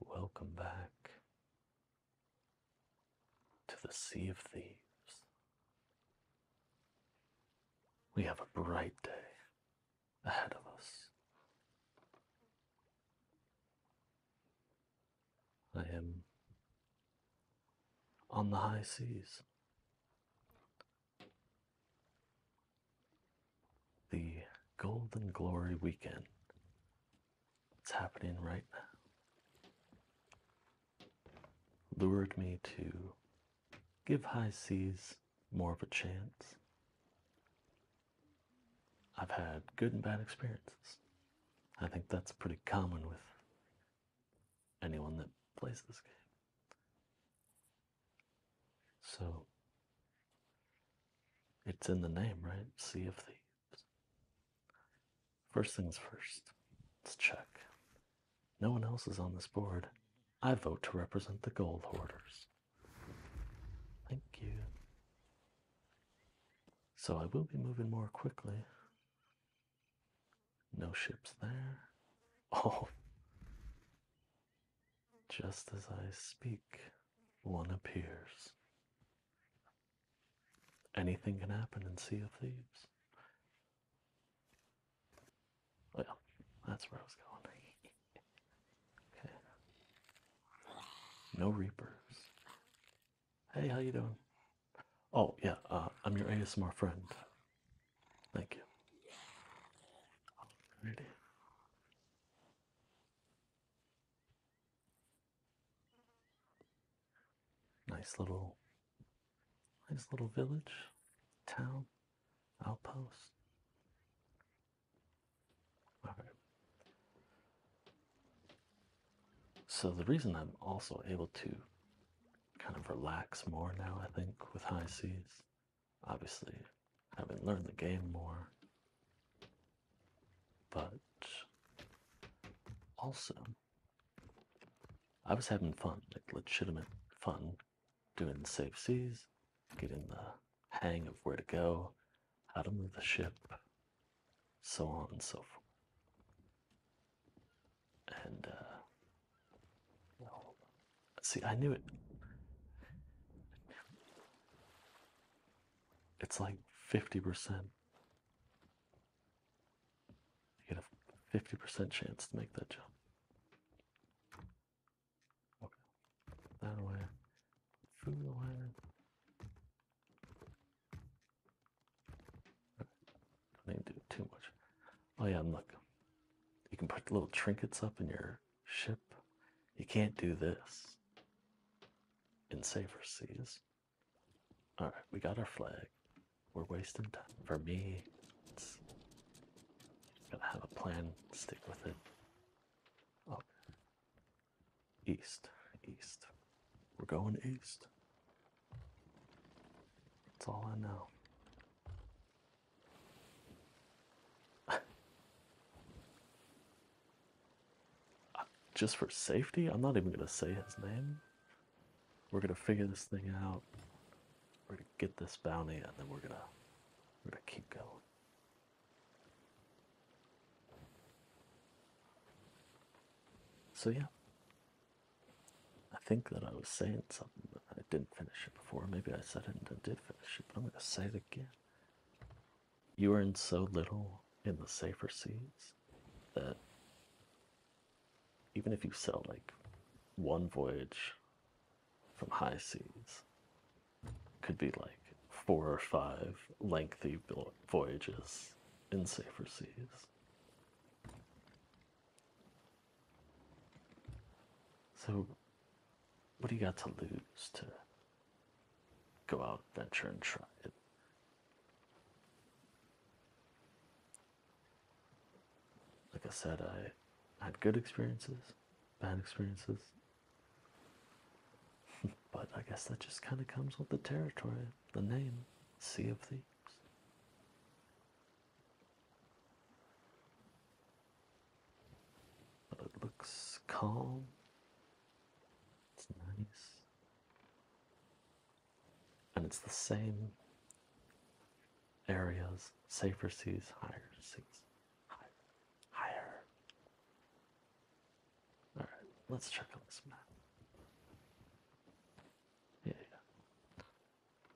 Welcome back to the Sea of Thieves. We have a bright day ahead of us. I am on the high seas the Golden Glory weekend. It's happening right now. Lured me to give high seas more of a chance. I've had good and bad experiences. I think that's pretty common with anyone that plays this game. So it's in the name, right? Sea of Thieves. First things first, let's check. No one else is on this board. I vote to represent the gold hoarders. Thank you. So I will be moving more quickly. No ships there. Oh, just as I speak, one appears. Anything can happen in Sea of Thieves. Well, that's where I was going. okay. No Reapers. Hey, how you doing? Oh, yeah, uh, I'm your ASMR friend. Thank you. Alrighty. Nice little, nice little village, town, outpost. All right. So the reason I'm also able to kind of relax more now, I think, with high seas, obviously haven't learned the game more. But also, I was having fun, like legitimate fun, doing safe seas, getting the hang of where to go, how to move the ship, so on and so forth. And, uh, see, I knew it it's like 50%. You get a 50% chance to make that jump. Okay. That away. Food away. Right. I didn't do too much. Oh yeah, look. You can put little trinkets up in your ship. You can't do this in safer seas. All right, we got our flag. We're wasting time. For me, it's gotta have a plan, stick with it. Up. East, east. We're going east. That's all I know. Just for safety? I'm not even gonna say his name. We're gonna figure this thing out. We're gonna get this bounty and then we're gonna we're gonna keep going. So yeah. I think that I was saying something, but I didn't finish it before. Maybe I said it and I did finish it, but I'm gonna say it again you earn so little in the safer seas that even if you sell like one voyage from high seas could be like four or five lengthy voyages in safer seas. So, what do you got to lose to go out, venture, and try it. Like I said, I had good experiences, bad experiences. but I guess that just kind of comes with the territory, the name, Sea of Thieves. But it looks calm it's nice. And it's the same areas, safer seas, higher seas, higher, higher. All right, let's check on this map. yeah.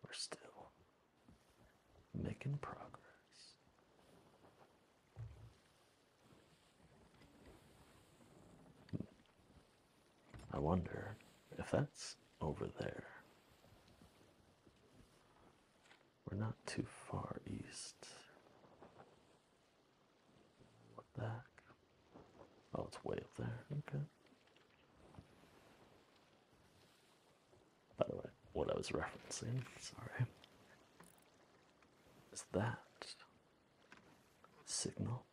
we're still making progress. I wonder if that's over there. We're not too far east. What the heck? Oh, it's way up there. Okay. By the way, what I was referencing, sorry, is that signal?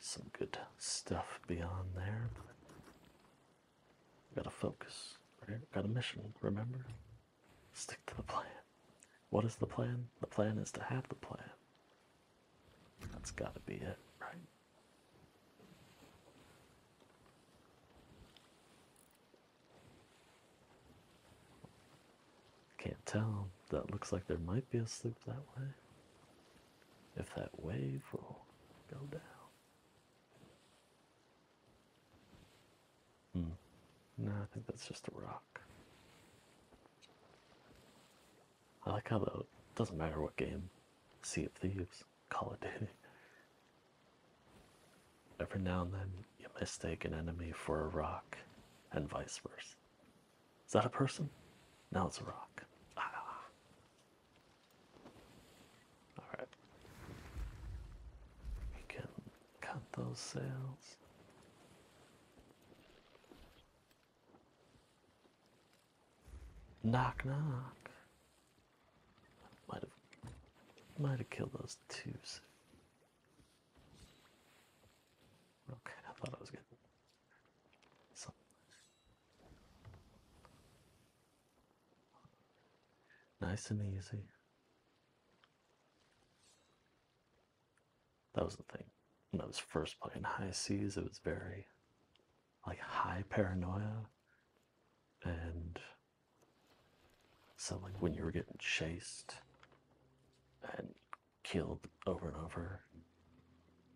Some good stuff beyond there. Gotta focus. Right? Got a mission, remember? Stick to the plan. What is the plan? The plan is to have the plan. That's gotta be it, right? Can't tell. That looks like there might be a slope that way. If that wave will go down. Hmm. No, I think that's just a rock. I like how though it doesn't matter what game, Sea of Thieves. Call of Duty. Every now and then you mistake an enemy for a rock and vice versa. Is that a person? Now it's a rock. Ah. Alright. We can cut those sails. Knock knock. Might have, might have killed those two. Okay, I thought I was getting something. Nice and easy. That was the thing. When I was first playing High Seas, it was very like high paranoia and so, like when you were getting chased and killed over and over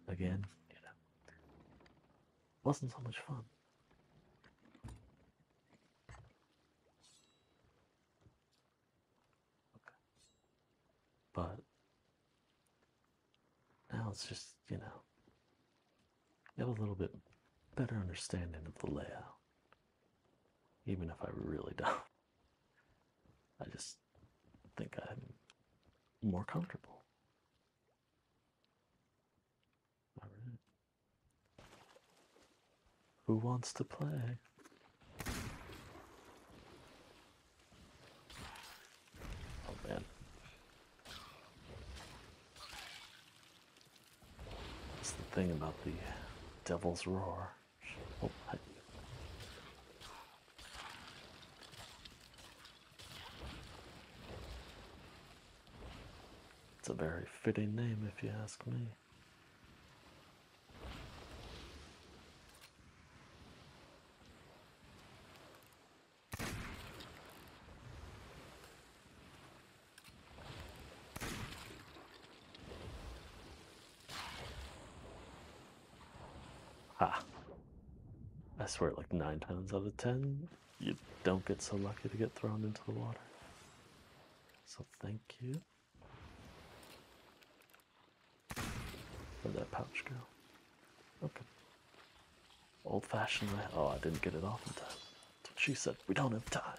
again, you wasn't so much fun. But now it's just, you know, have a little bit better understanding of the layout. Even if I really don't. I just think I'm more comfortable. All right. Who wants to play? Oh man. That's the thing about the devil's roar. Oh, it's a very fitting name, if you ask me. Ah. I swear, like nine times out of ten, you don't get so lucky to get thrown into the water. So thank you. for that pouch girl. Okay. Old fashioned way. Oh, I didn't get it off in time. she said. We don't have time.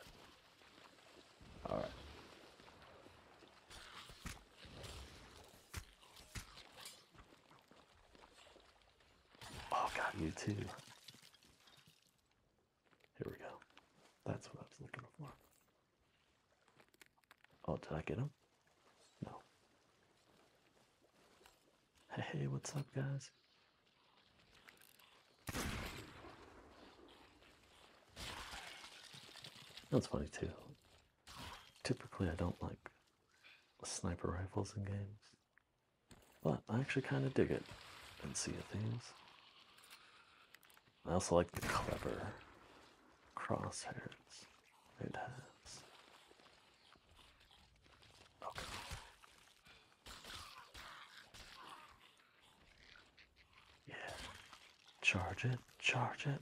All right. Oh, got you too. Here we go. That's what I was looking for. Oh, did I get him? No. Hey, what's up, guys? That's funny too. Typically I don't like sniper rifles in games. But I actually kind of dig it and see things. I also like the clever crosshairs it has. Yeah. Charge it, charge it,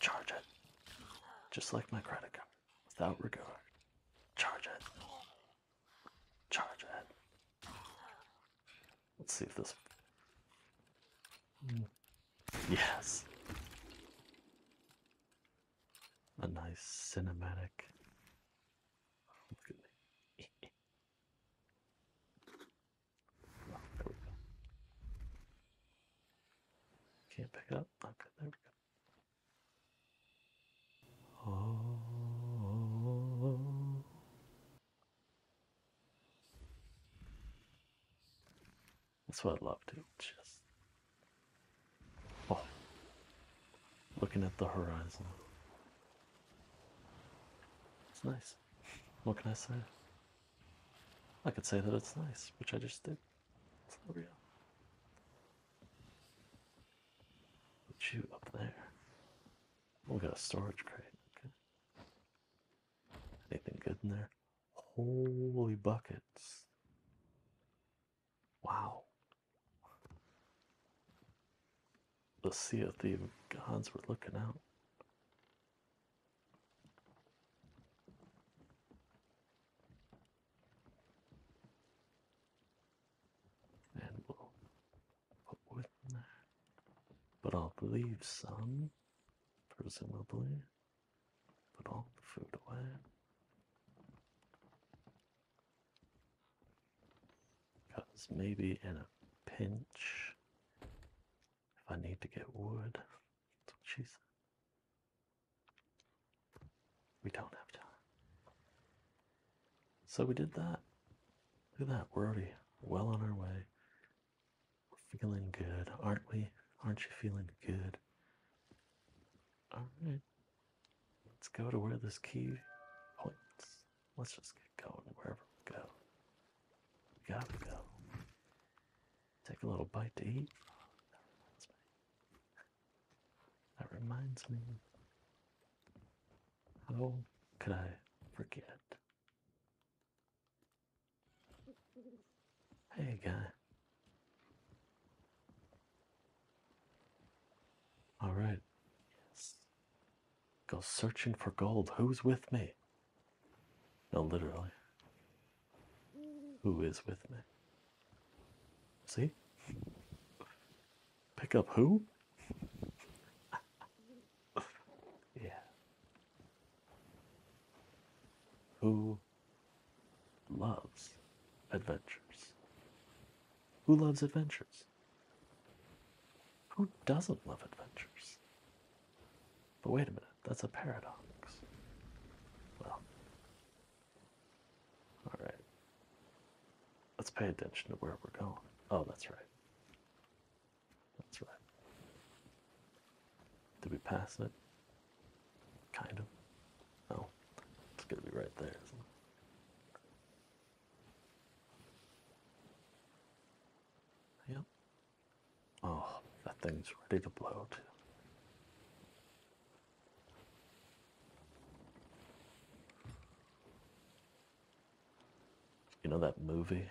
charge it. Just like my credit card, without regard. Charge it, charge it. Let's see if this. Mm. Yes. A nice cinematic can't pick up. Okay, there we go. Oh. That's what I love to just Oh, looking at the horizon. It's nice. What can I say? I could say that it's nice, which I just did. It's not real. Put you up there. We got a storage crate. Okay. Anything good in there? Holy buckets. Wow. The sea of the gods were looking out. And we'll put wood in But I'll leave some, presumably. Put all food away. Because maybe in a pinch, if I need to get wood, that's what she said. We don't have time. So we did that. Look at that, we're already well on our way. We're feeling good, aren't we? Aren't you feeling good? Alright. Let's go to where this key points. Let's just get going wherever we go. We gotta go. Take a little bite to eat. That reminds me. How could I forget? Hey, guy. All right. Go searching for gold. Who's with me? No, literally. Who is with me? See? Pick up who? yeah. Who loves adventures? Who loves adventures? Who doesn't love adventures? But wait a minute, that's a paradox. Well, alright. Let's pay attention to where we're going. Oh, that's right. That's right. Did we pass it? Kind of. No. Oh, it's gonna be right there, it? Yeah. Oh, that thing's ready to blow You know that movie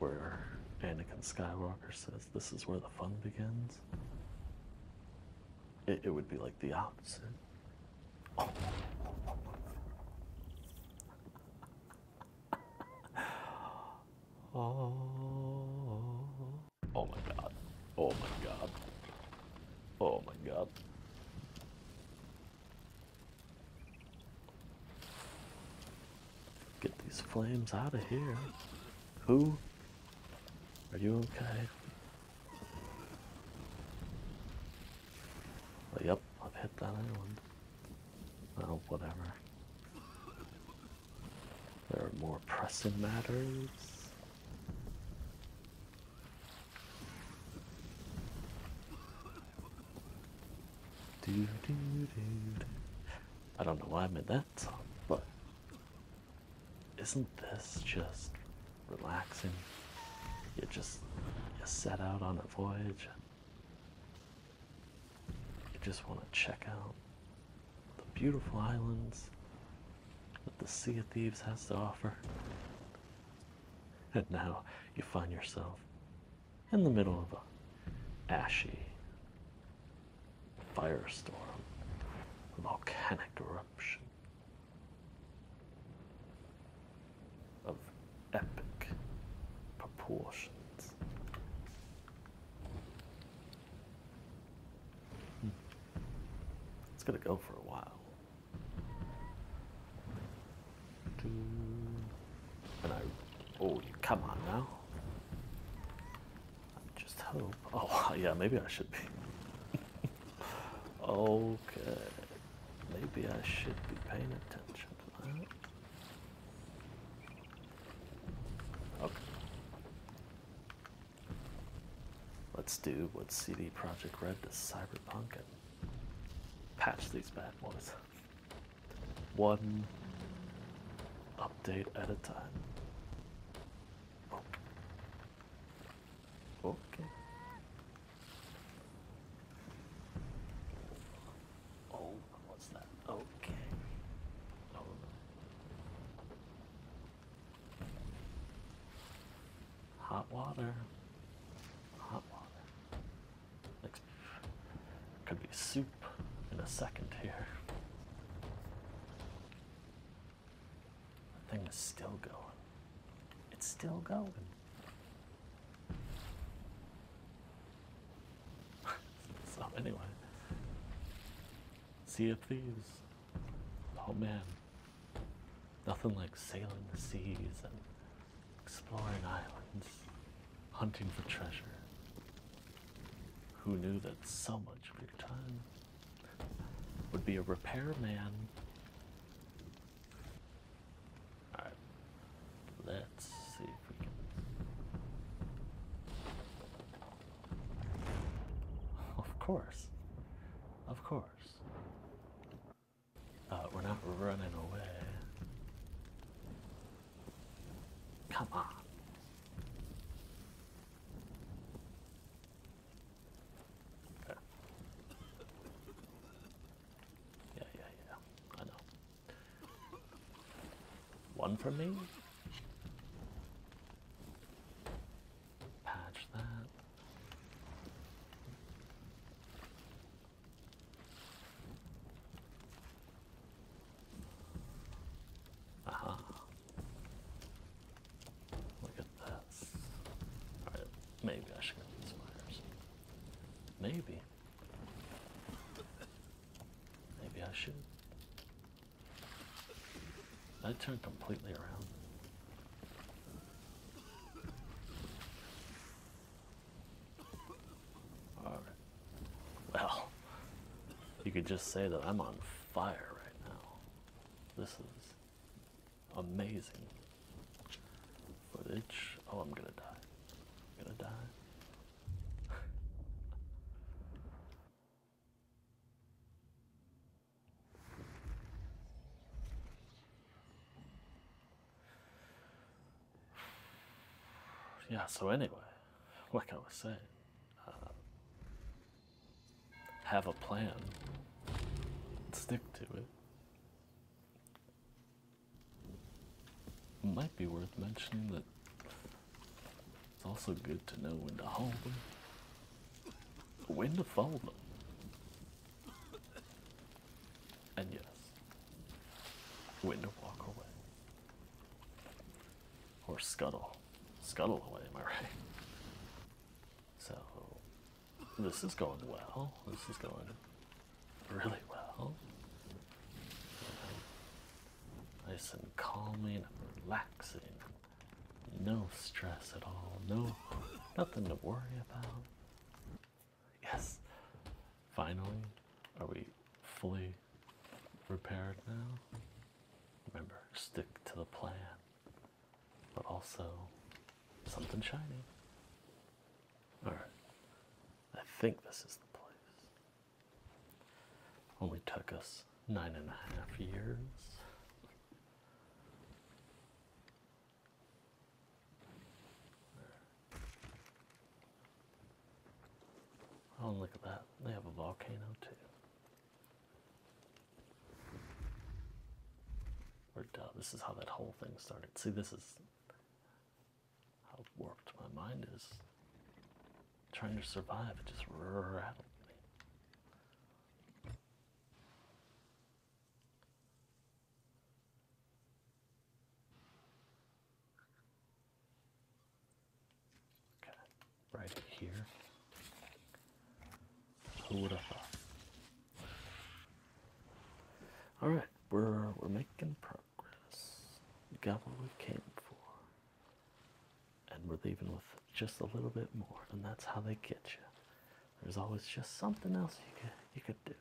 where Anakin Skywalker says, This is where the fun begins? It, would be like the opposite. Oh. oh my god. Oh my god. Oh my god. Get these flames out of here. Who? Are you okay? yep, I've hit that island. Well, whatever. There are more pressing matters. I don't know why I made that song, but isn't this just relaxing? You just set out on a voyage. You just want to check out the beautiful islands that the Sea of Thieves has to offer. And now you find yourself in the middle of a ashy firestorm, a volcanic eruption, of epic proportions. Hmm. It's going to go for a while. And I, oh, come on now. I just hope. Oh, yeah, maybe I should be. okay. Maybe I should be paying attention to that. Okay. Let's do what CD Project Red does Cyberpunk and patch these bad boys. One update at a time. Okay. Oh, what's that? Okay. Hot water. Hot water. could be soup in a second here. The thing is still going. It's still going. so anyway, Sea of Thieves. Oh man, nothing like sailing the seas and exploring islands, hunting for treasure. Who knew that so much of your time would be a repairman. Alright. Let's see Of course. Of course. Uh, we're not running away. Come on. Yeah. yeah, yeah, I know. One for me. Patch that. Aha. Uh-huh. Look at this. Alright, maybe I should get these wires. Maybe. Maybe I should. I turned completely around. Alright. Well, you could just say that I'm on fire right now. This is amazing footage. Oh, I'm gonna die. I'm gonna die. yeah, so anyway, like I was saying, uh, have a plan and stick to it. it might be worth mentioning that it's also good to know when to hold them, when to fold them, and yes, when to walk away. Or scuttle. Scuttle away, am I right? So this is going well. This is going really well. Nice and calming and relaxing. No stress at all. No nothing to worry about. Yes. Finally, are we fully repaired now? Remember, stick to the plan but also something shiny. Alright, I think this is the place. Only took us nine and a half years. Oh, look at that. They have a volcano too this is how that whole thing started. See, this is how warped my mind is. Trying to survive, it just rattled Okay, right here. Who would have thought? All right, we're we're making progress. We got what we came for, and we're leaving with just a little bit more, and that's how they get you. There's always just something else you could you could do.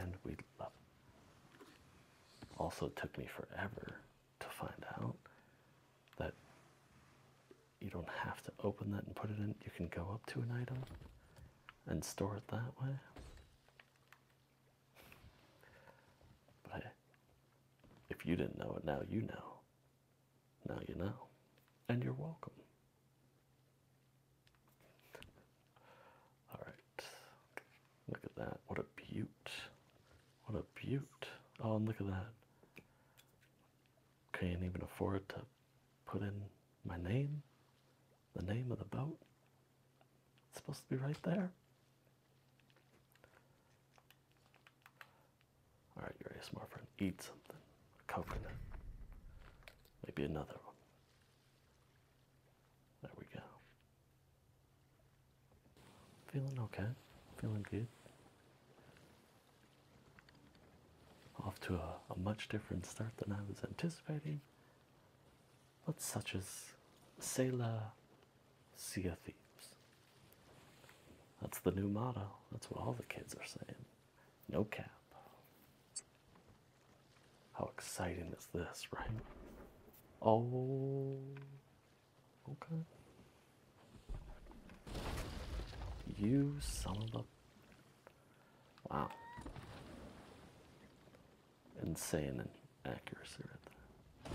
And we love Also, took me forever to find out that you don't have to open that and put it in. You can go up to an item and store it that way. But if you didn't know it, now you know. Now you know. And you're welcome. All right. Look at that. What a beaut. What a beaut. Oh, and look at that. Can't even afford to put in my name, the name of the boat. It's supposed to be right there. Alright, a smart friend, eat something. A coconut. Maybe another one. There we go. Feeling okay, feeling good. Off to a, much different start than I was anticipating, but such as Sela Sea of Thieves. That's the new motto, that's what all the kids are saying. No cap. How exciting is this, right? Oh, Okay. You son of a. Wow. Insane in accuracy right there.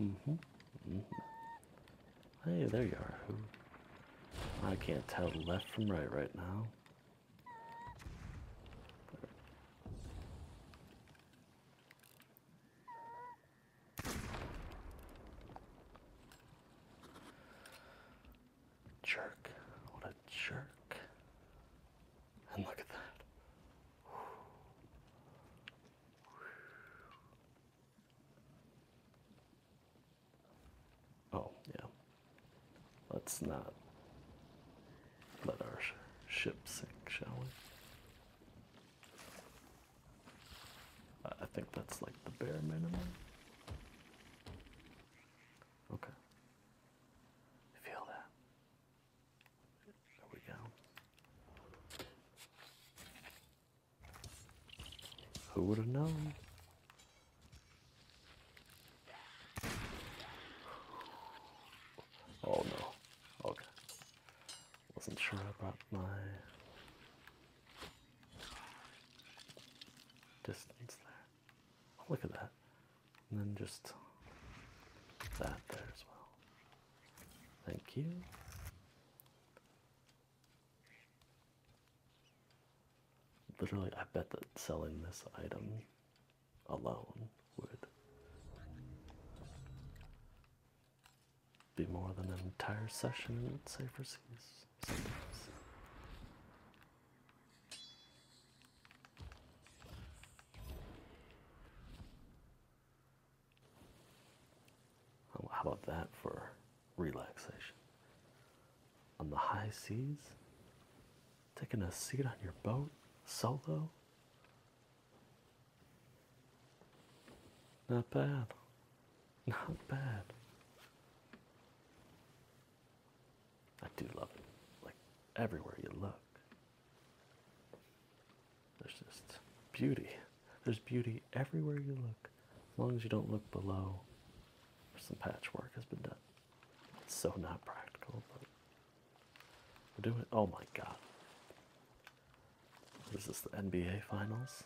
Mm hmm Hey, there you are. I can't tell left from right right now. Jerk. What a jerk. And look at that. Oh, yeah. Let's not let our ship sink, shall we? I think that's like the bare minimum. Okay. Feel that. There we go. Who would have known? Oh no. Okay. Wasn't sure about my distance there. Oh, look at that. And then just that there as well. Thank you. Literally, I bet that selling this item alone would be more than an entire session at Safer Seas how about that for relaxation? On the high seas, taking a seat on your boat solo not bad. Not bad. I do love it. Like everywhere you look, there's just beauty. There's beauty everywhere you look. As long as you don't look below, some patchwork has been done. It's so not practical, but we're doing. Oh my god. Is this, the NBA Finals?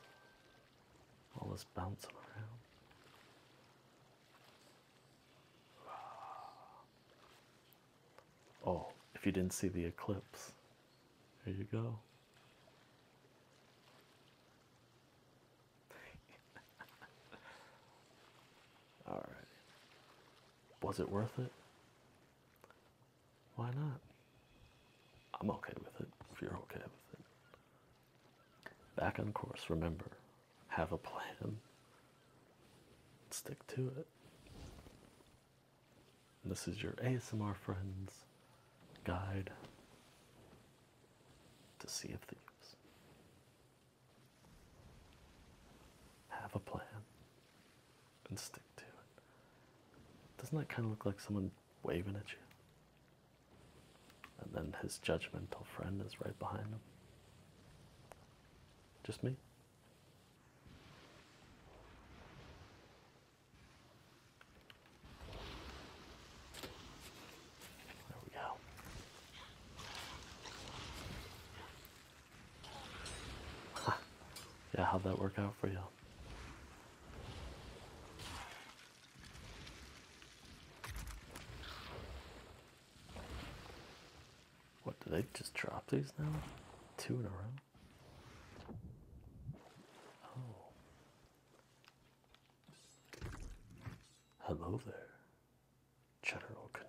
All this bouncing around. Oh, if you didn't see the eclipse, there you go. Alright. Was it worth it? Why not? I'm okay with it if you're okay with it. Back on course, remember, have a plan, stick to it. This is your ASMR friends guide to Sea of Thieves. Have a plan, and stick to it. Doesn't that kind of look like someone waving at you? And then his judgmental friend is right behind him. Just me? There we go yeah, how'd that work out for you? What, did they just drop these now? Two in a row? Hello oh. there, General Kenobi.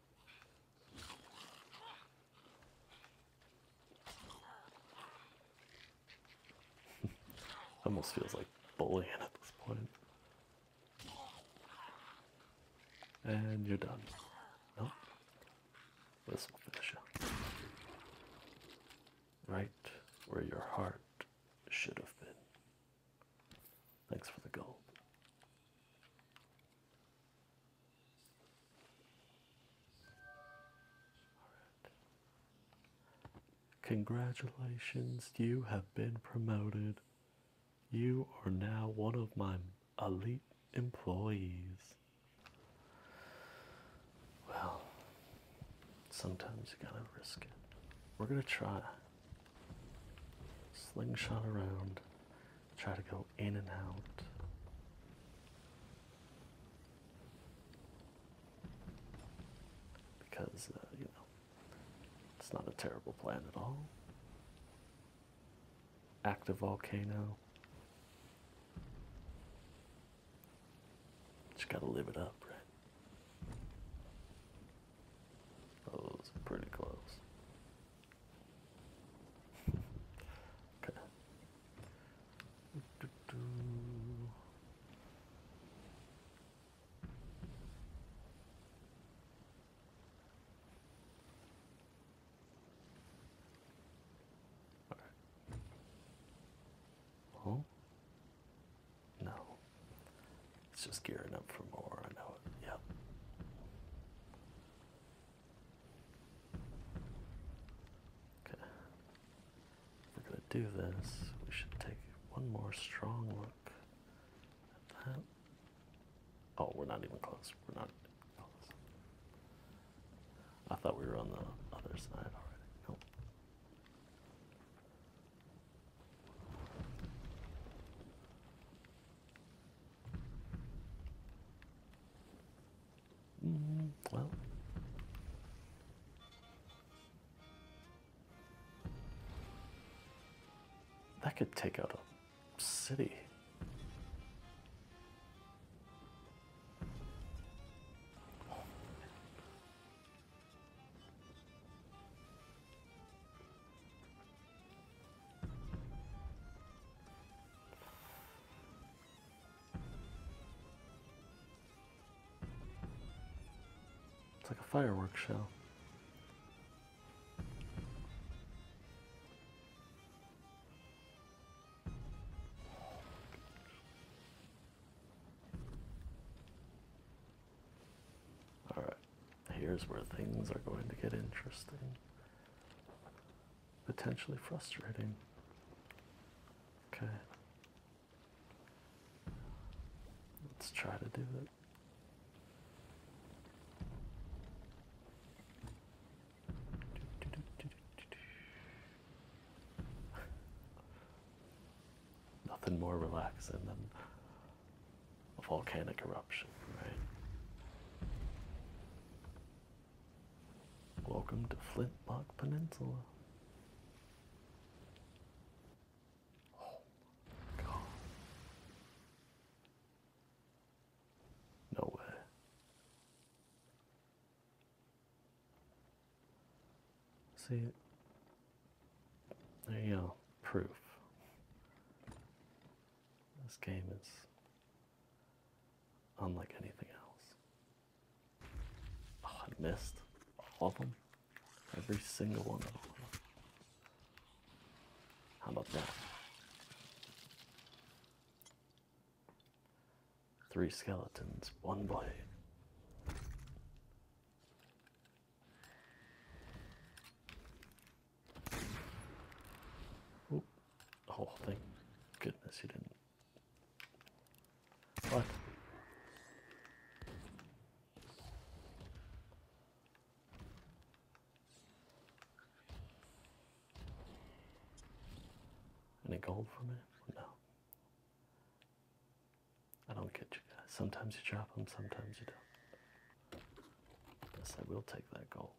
Almost feels like bullying at this And you're done. Nope. This will finish Right where your heart should have been. Thanks for the gold. Congratulations, you have been promoted. You are now one of my elite employees. Well, sometimes you gotta risk it. We're gonna try. Slingshot around, try to go in and out. Because, uh, you know, it's not a terrible plan at all. Active volcano. Just gotta live it up, right? Oh, it's pretty close. Okay. Oh. No. It's just gearing up for more. I know it. Yep. Okay. If we're gonna do this, we should take one more strong look at that. Oh, we're not even close. We're not close. I thought we were on the other side already. Nope. Mm, well. That could take out a city. It's like a fireworks show. All right. Here's where things are going to get interesting, potentially frustrating. Okay, let's try to do it. Nothing more relaxing than a volcanic eruption, right? Welcome to Flintlock Peninsula. Oh my god. No way. See, there you go, proof. This game is unlike anything else. Oh, I missed all of them. Every single one of them. How about that? Three skeletons, one blade. The oh, whole oh, thing. goodness you didn't. What? Any gold for me? No. I don't get you guys. Sometimes you drop them, sometimes you don't. Yes, I will take that gold.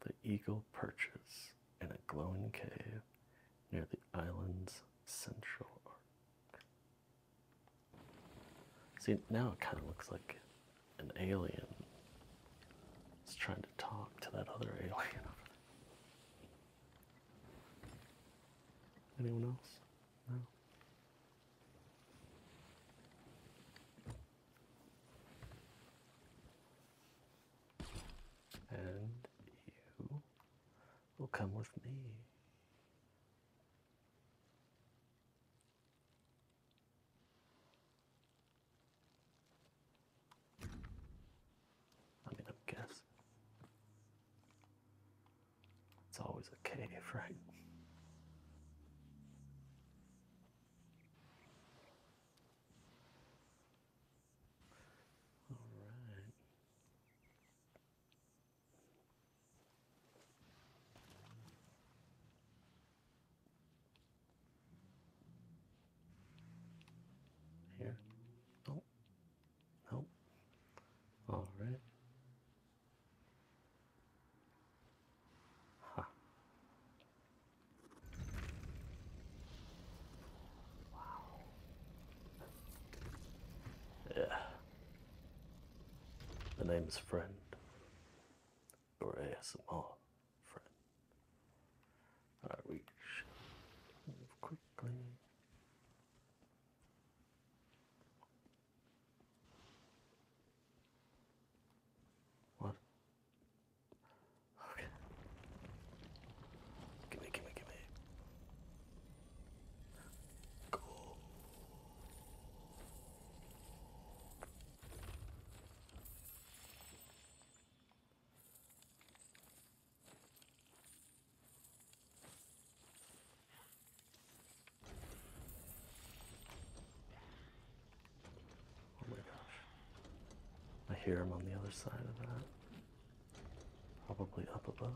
The eagle perches in a glowing cave near the island's central arc. See, now it kind of looks like an alien is trying to talk to that other alien Anyone else? No. And you will come with me. I mean, I guess it's always a cave, right? All right. Here. Oh. Oh. All right. Wow. Yeah. The name is Friend. Or ASMR Friend. All right, we quickly. What? Okay. Give me, give me, give me. Go. Oh my gosh. I hear him on the other side of that. Probably up above.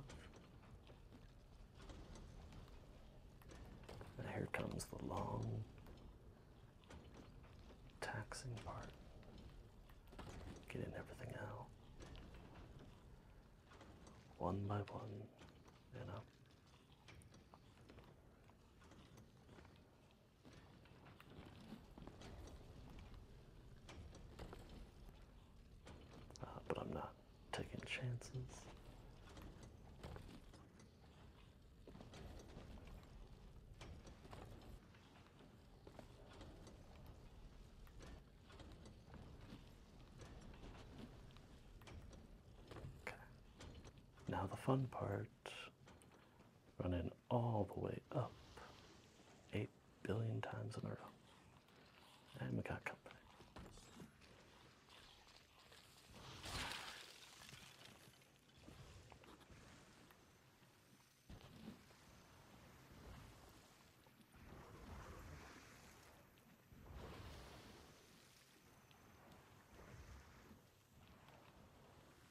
And here comes the long taxing part. Getting everything out. One by one, you uh, know. but I'm not taking chances. Now the fun part. Running all the way up. Eight billion times in a row. And we got company.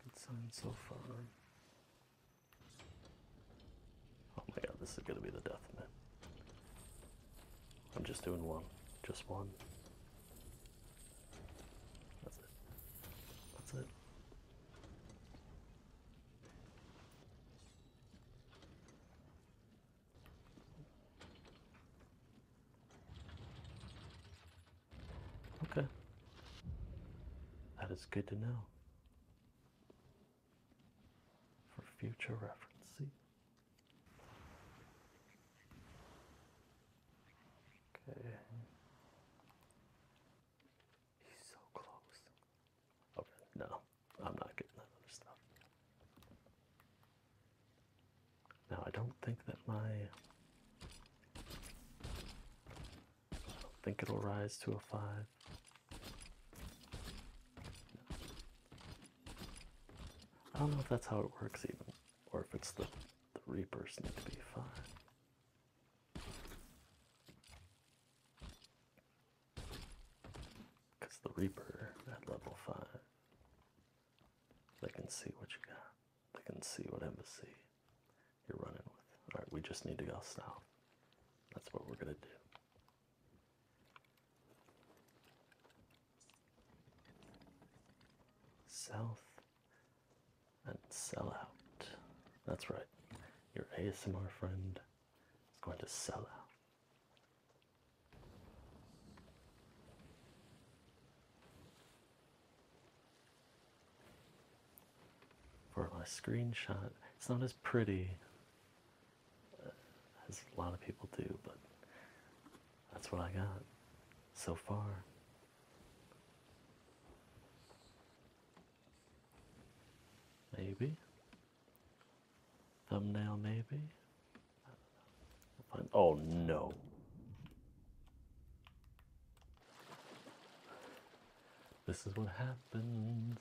Good sign so far. Oh my god, this is gonna be the death of me. I'm just doing one. Just one. That's it. That's it. Okay. That is good to know. For future reference. Okay. He's so close. Okay, no, I'm not getting that other stuff. Now, I don't think that my. I don't think it'll rise to a 5. I don't know if that's how it works, even, or if it's the, the Reapers need to be 5. Because the Reaper at level 5, they can see what you got, they can see what embassy you're running with. Alright, we just need to go south. That's what we're going to do. South and sell out. That's right. Your ASMR friend it's going to sell out. For my screenshot, it's not as pretty uh, as a lot of people do, but that's what I got so far. Maybe. Thumbnail, maybe. Oh no. This is what happens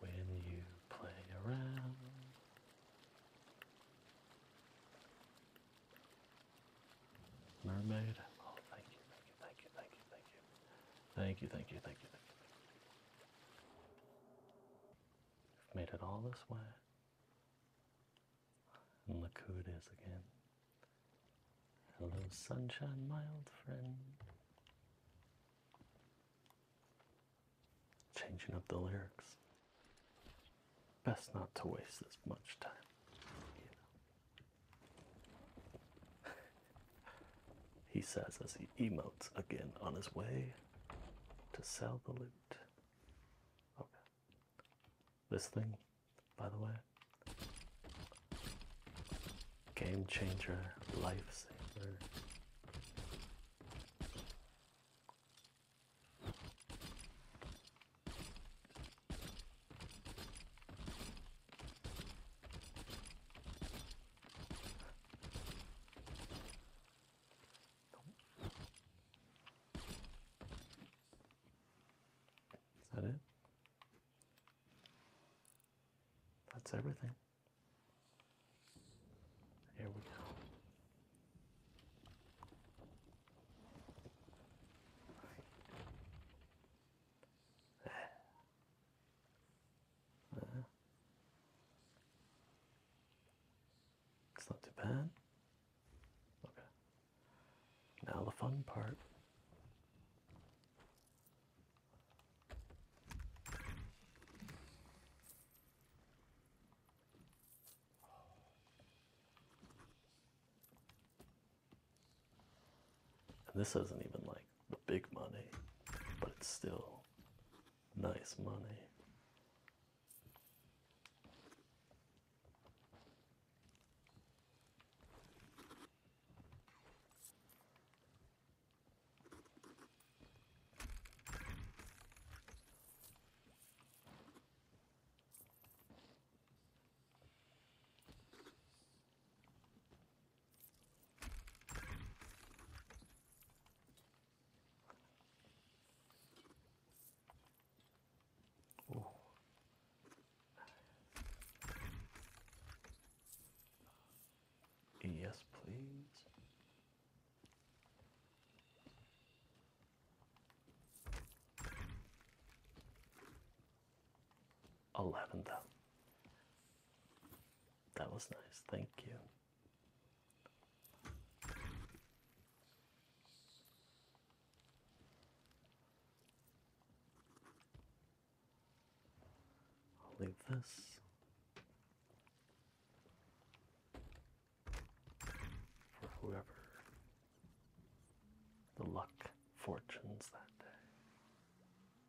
when you play around. Mermaid. Thank you, thank you, thank you, you. have made it all this way. And look who it is again. Hello, sunshine, my old friend. Changing up the lyrics. Best not to waste this much time. he says as he emotes again on his way to sell the loot. Okay. This thing, by the way, game changer, lifesaver. Is that it? That's everything. Here we go it's not too bad. Okay. Now the fun part. And this isn't even like the big money, but it's still nice money. Oh. Yes, please. Eleventh. That was nice. Thank you. I'll leave this for whoever the luck fortunes that day.